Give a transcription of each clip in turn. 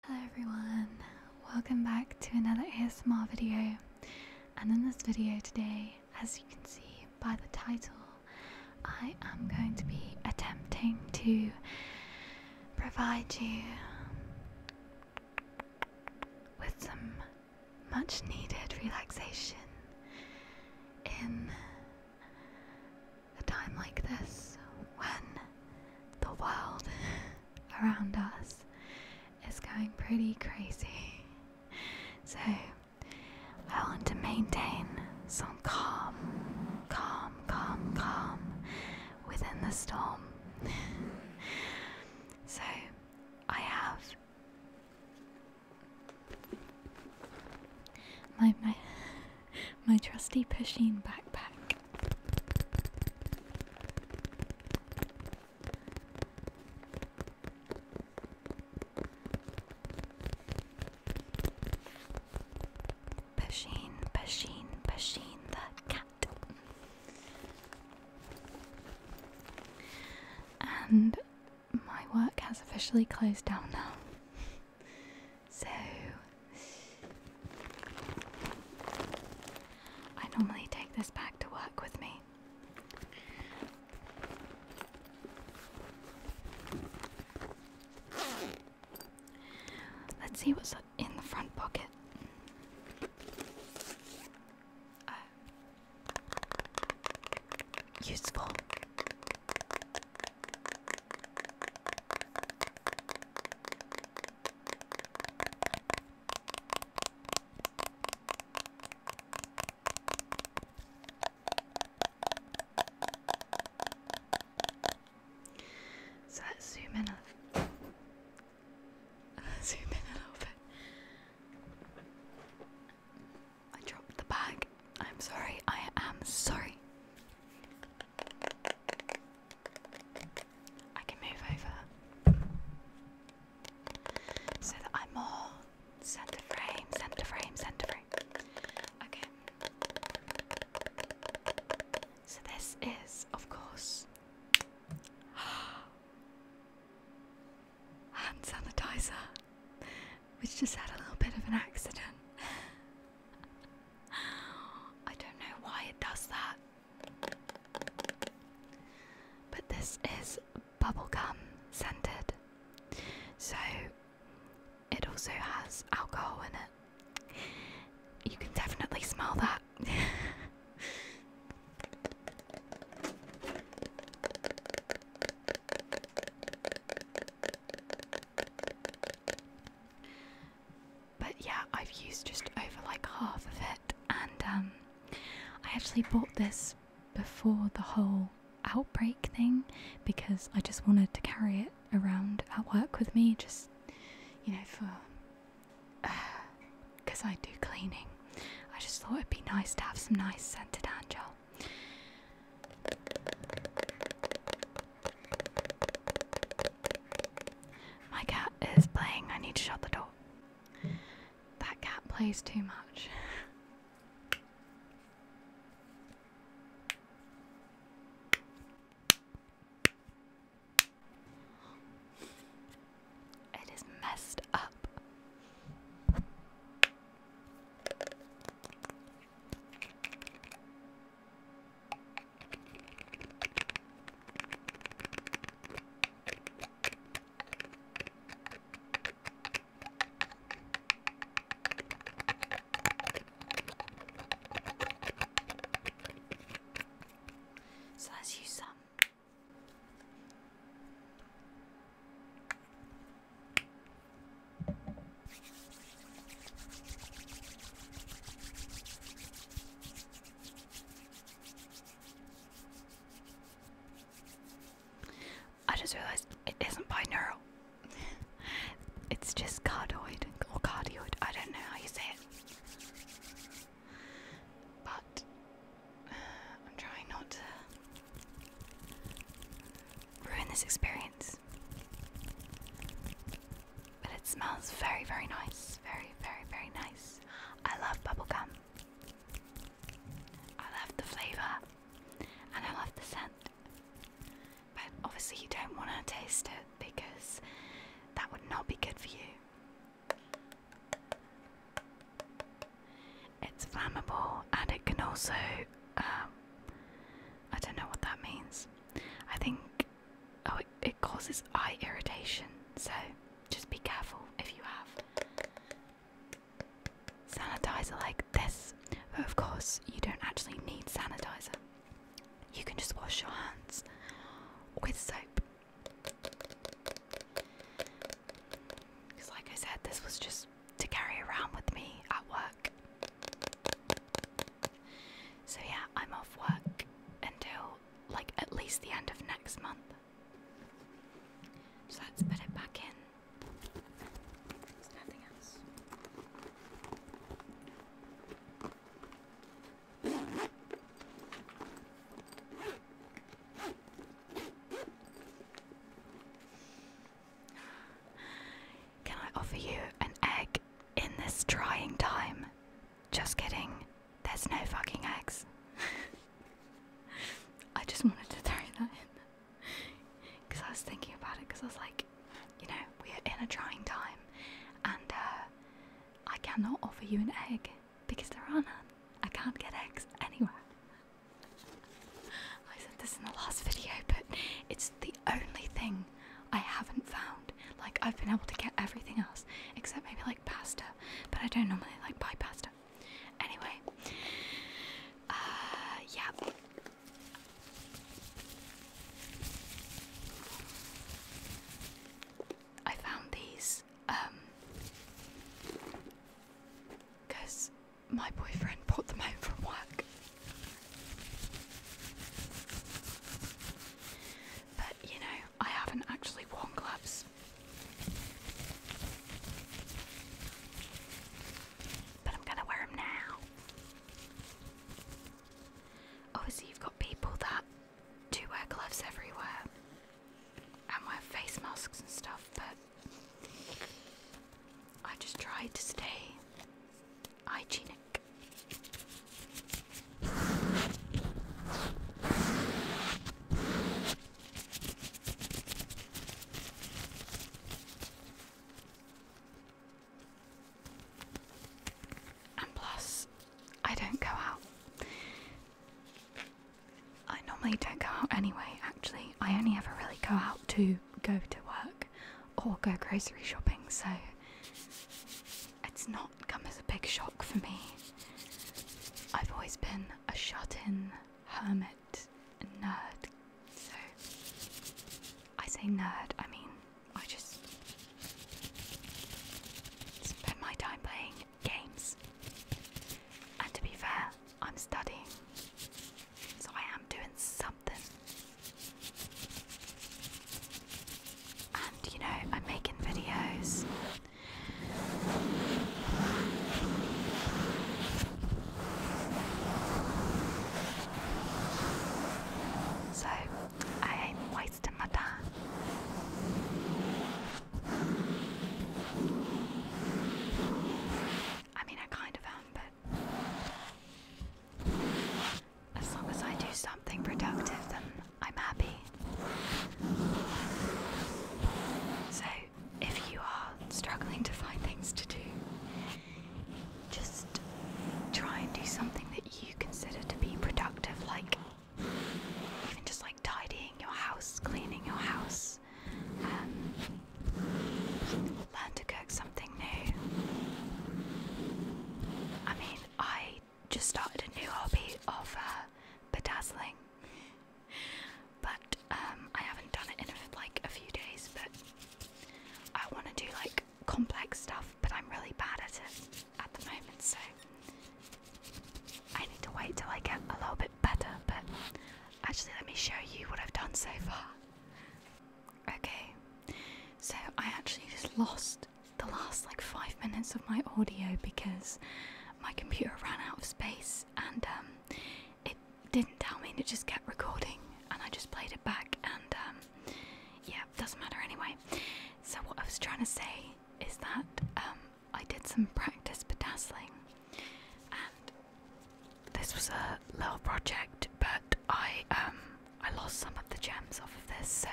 Hello everyone, welcome back to another ASMR video and in this video today, as you can see by the title, I am going to be attempting to provide you with some much needed relaxation in a time like this when the world around us is going pretty crazy. So I want to maintain some calm, calm, calm, calm within the storm. so I have my my my trusty pushing backpack. Pushing, pushing, pushing the cat. And my work has officially closed down now. So I normally take this back to work with me. Let's see what's in the front pocket. Oh. Useful. So let's zoom in a zoom in a little I dropped the bag. I'm sorry. I am sorry. I can move over so that I'm more center frame, center frame, center frame. Okay. So this is, of course, hand sanitizer, which just had a little bit of an accident. I don't know why it does that. But this is bubble gum scented. So it also has alcohol in it. You can definitely smell that. But yeah, I've used just over like half of it, and um, I actually bought this before the whole outbreak thing because I just wanted to carry it around at work with me, just you know, for because I do cleaning. I just thought it'd be nice to have some nice scented hand gel. My cat is playing. I need to shut the door. That cat plays too much. it is messed up. So let's use some. I just realized it isn't binaural. it's just cardioid or cardioid. I don't know how you say it. But I'm trying not to ruin this experience. But it smells very, very nice. Very, very, very nice. I love bubblegum. I love the flavour and I love the scent. But obviously, you don't want to taste it because that would not be good for you. It's flammable and it can also. Um, I don't know what that means. I think oh it, causes eye irritation, so just be careful if you have sanitizer like this. But of course, you don't actually need sanitizer. You can just wash your hands with soap. Because, like I said, this was just to carry around with me at work. So, yeah, I'm off work until like at least the end of next month. So, let's put it back in. Can I offer you an egg in this trying time? Just kidding. There's no fucking eggs. I just wanted to throw that in. Because I was thinking about it, because I was like, you know, we are in a trying time, and uh, I cannot offer you an egg because there are none. I can't get eggs anywhere. I said this in the last video, but it's the only thing I haven't found. Like, I've been able to get everything else, except maybe like pasta, but I don't normally like buy pasta. Anyway, uh, yeah. I found these, because um, my boyfriend brought them home from work. But you know, I haven't actually worn gloves. But I'm gonna wear them now. Obviously, you've got people that do wear gloves everywhere and wear face masks and stuff, but I just tried to stay hygienic. And plus, I don't go out. I normally don't go out anyway, actually. I only ever really go out to go to work or go grocery shopping, so it's not come as a big shock for me. I've always been a shut in hermit nerd, so I say nerd, I mean, I just spend my time playing games. And to be fair, I'm studying. So I am doing something. And you know, I'm making videos. So I ain't wasting my time. I mean, I kind of am, but as long as I do something productive, then I'm happy. So, if you are struggling to find things to do, just try and do something that you consider to be productive, like even just like tidying your house, cleaning your house, um, Learn to cook something new. I mean, I just started a new hobby of uh, bedazzling, but um, I haven't done it in like a few days. But I want to do like complex stuff, but I'm really bad at it at the moment, so I need to wait till I get a little bit better. But actually, let me show you what I've done so far. Okay, so I actually just lost the last like five minutes of my audio because my computer ran out of space and um, it didn't tell me and it just kept recording and I just played it back and um, yeah, doesn't matter anyway. So what I was trying to say is that um, I did some practice bedazzling and this was a little project, but I um I lost some of the gems off of this, so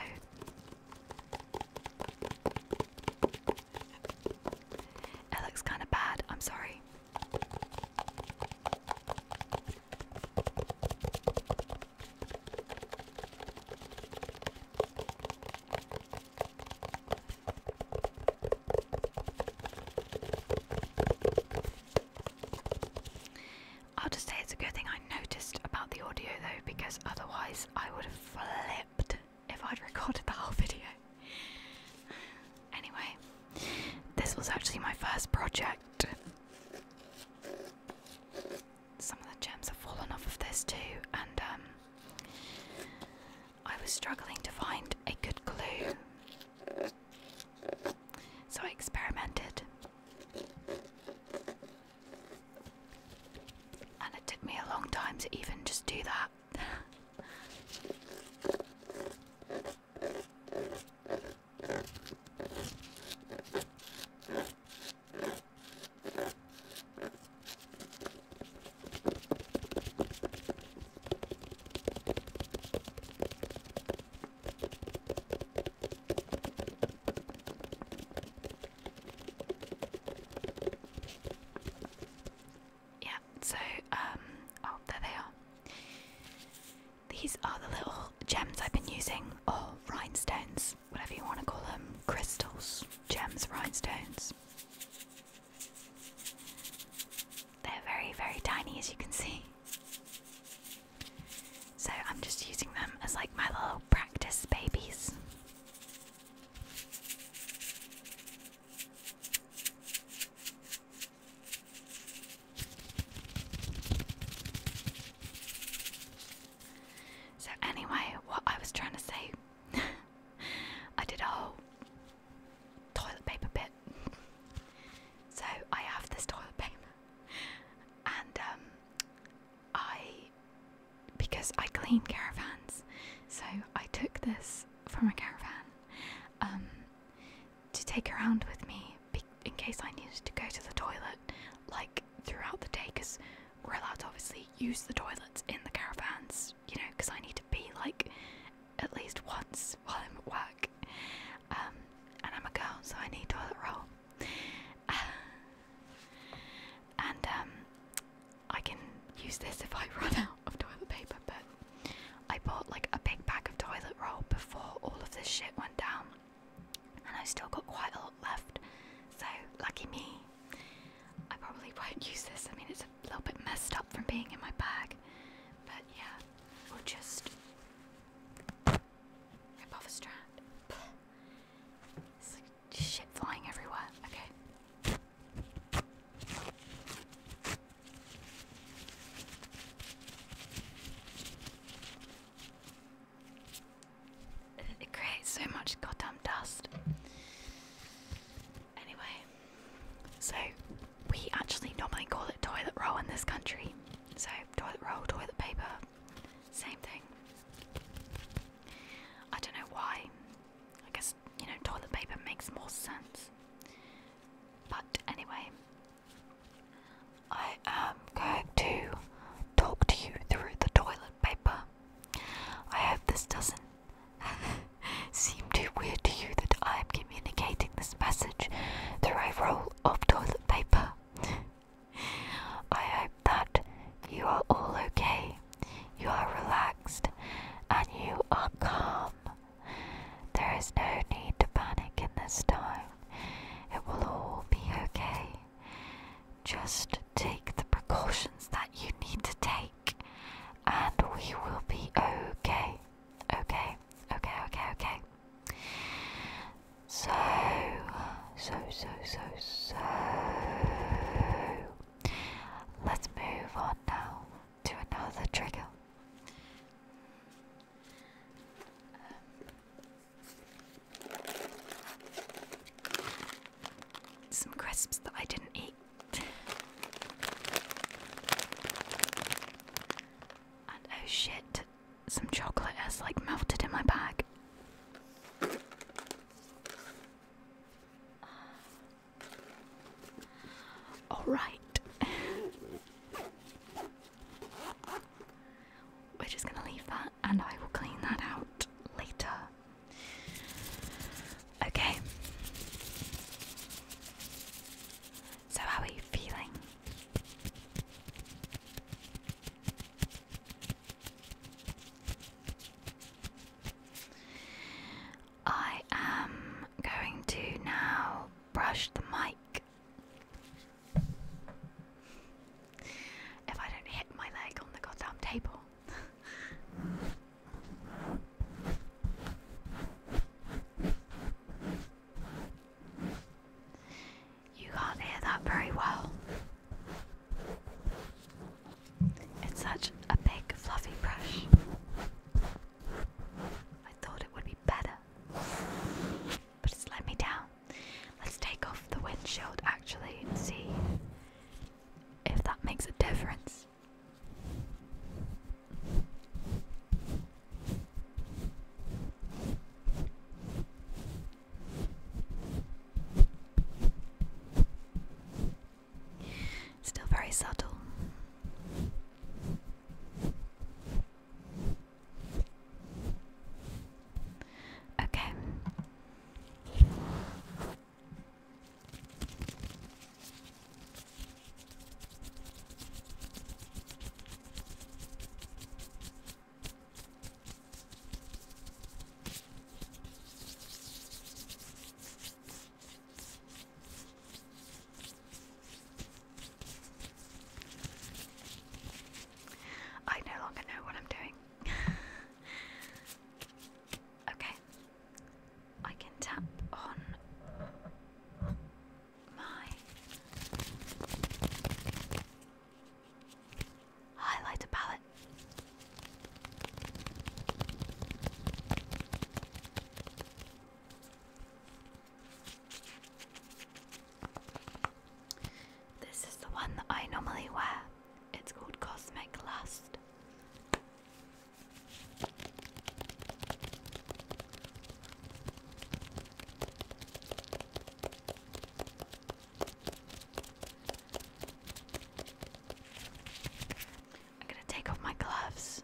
it looks kind of bad. I'm sorry. I'll just say it's a good thing I noticed about the audio though, because otherwise I would have flipped if I'd recorded the whole video. anyway, this was actually my first project. Some of the gems have fallen off of this too, and um, I was struggling to find a good glue. So I experimented. And it took me a long time to even just do that. Yeah, so, um, oh, there they are. These are the little gems I've been using, or rhinestones, whatever you want to call them crystals, gems, rhinestones. They're very, very tiny as you can see. So I'm just using them as like my little practice babies. So, anyway, what I was trying to say, I did a whole toilet paper bit. so I have this toilet paper, and um, I, because I clean caravans, so I took this from a caravan um, to take around with me in case I needed to go to the toilet, like throughout the day, because we're allowed to obviously use the toilets in the caravans you know, because I need to be like at least once while I'm at work. Um, and I'm a girl, so I need toilet roll. and um, I can use this if I run out of toilet paper, but I bought like a big bag of toilet roll before all of this shit went down, and I still got quite a lot left. So, lucky me. I probably won't use this. I mean, it's a little bit messed up from being in my bag. But yeah, we just rip off a strand. It's like shit flying everywhere. Okay. It creates so much goddamn dust. Anyway, so we actually normally call it toilet roll in this country. So, toilet roll, toilet paper, same thing. I don't know why. I guess, you know, toilet paper makes more sense. But anyway, I am going to talk to you through the toilet paper. I hope this doesn't seem too weird to you that I am communicating this message through a roll of toilet paper. I hope that you are all okay, you are relaxed, and you are calm. There is no need to panic in this time. It will all be okay. Just take the precautions that you need to take and we will be okay. Okay, okay, okay, okay. So, so, so, so, so. Let's move on now to another trigger. some crisps that I didn't eat oh shit, some chocolate has like melted in my bag. Alright. We're just gonna leave that and I will clean that out later. Okay. So, how are you feeling? I am going to now brush the mic. If I don't hit my leg on the goddamn table you can't hear that very well. It's such a big, fluffy brush. I thought it would be better, but it's let me down. Let's take off the windshield actually and see if that makes a difference. Still very subtle. Okay. I no longer know what I'm doing. okay, I can tap on my highlighter palette. This is the one that I normally wear. It's called Cosmic Lust. I'm going to take off my gloves.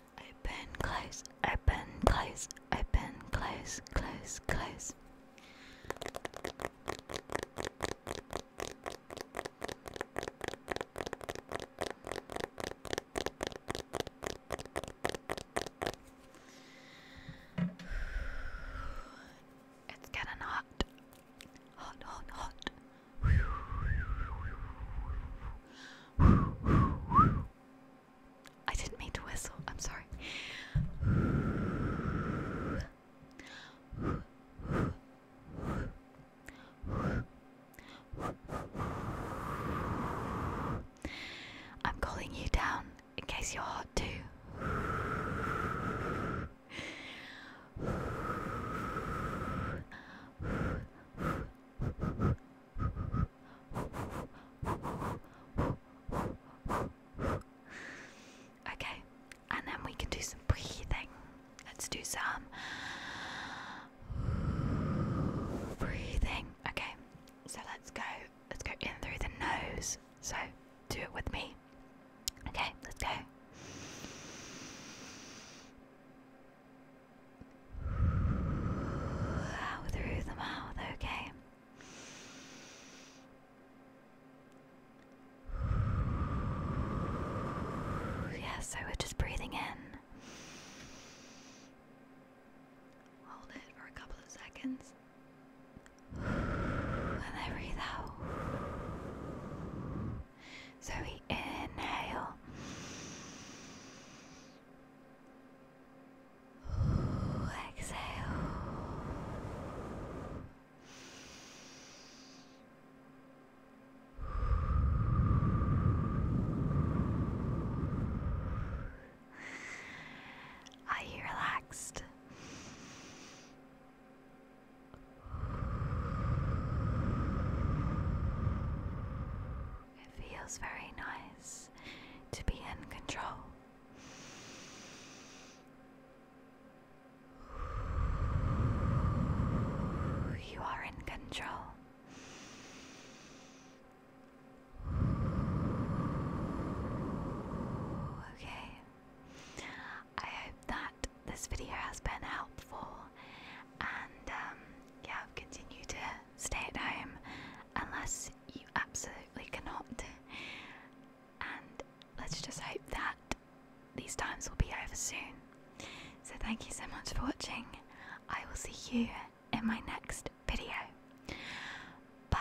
Open, close, open, close, open, close, close, close. It's getting hot. Hot, hot, hot. I didn't mean to whistle, I'm sorry. I'm calling you down in case you're hot too. Okay, and then we can do some breathing. Let's do some breathing. Okay, so let's go. Let's go in through the nose. So do it with me. Okay, let's go. Out through the mouth, okay. Yeah, so we just breathing in. Hold it for a couple of seconds. And then breathe out. So we inhale. exhale. Are you relaxed? It feels very nice to be in control. You are in control. Okay. I hope that this video has been helpful, and um, yeah, continue to stay at home unless you absolutely cannot. And let's just hope that these times will be over soon. So, thank you so much for watching. I will see you in my next video. Bye.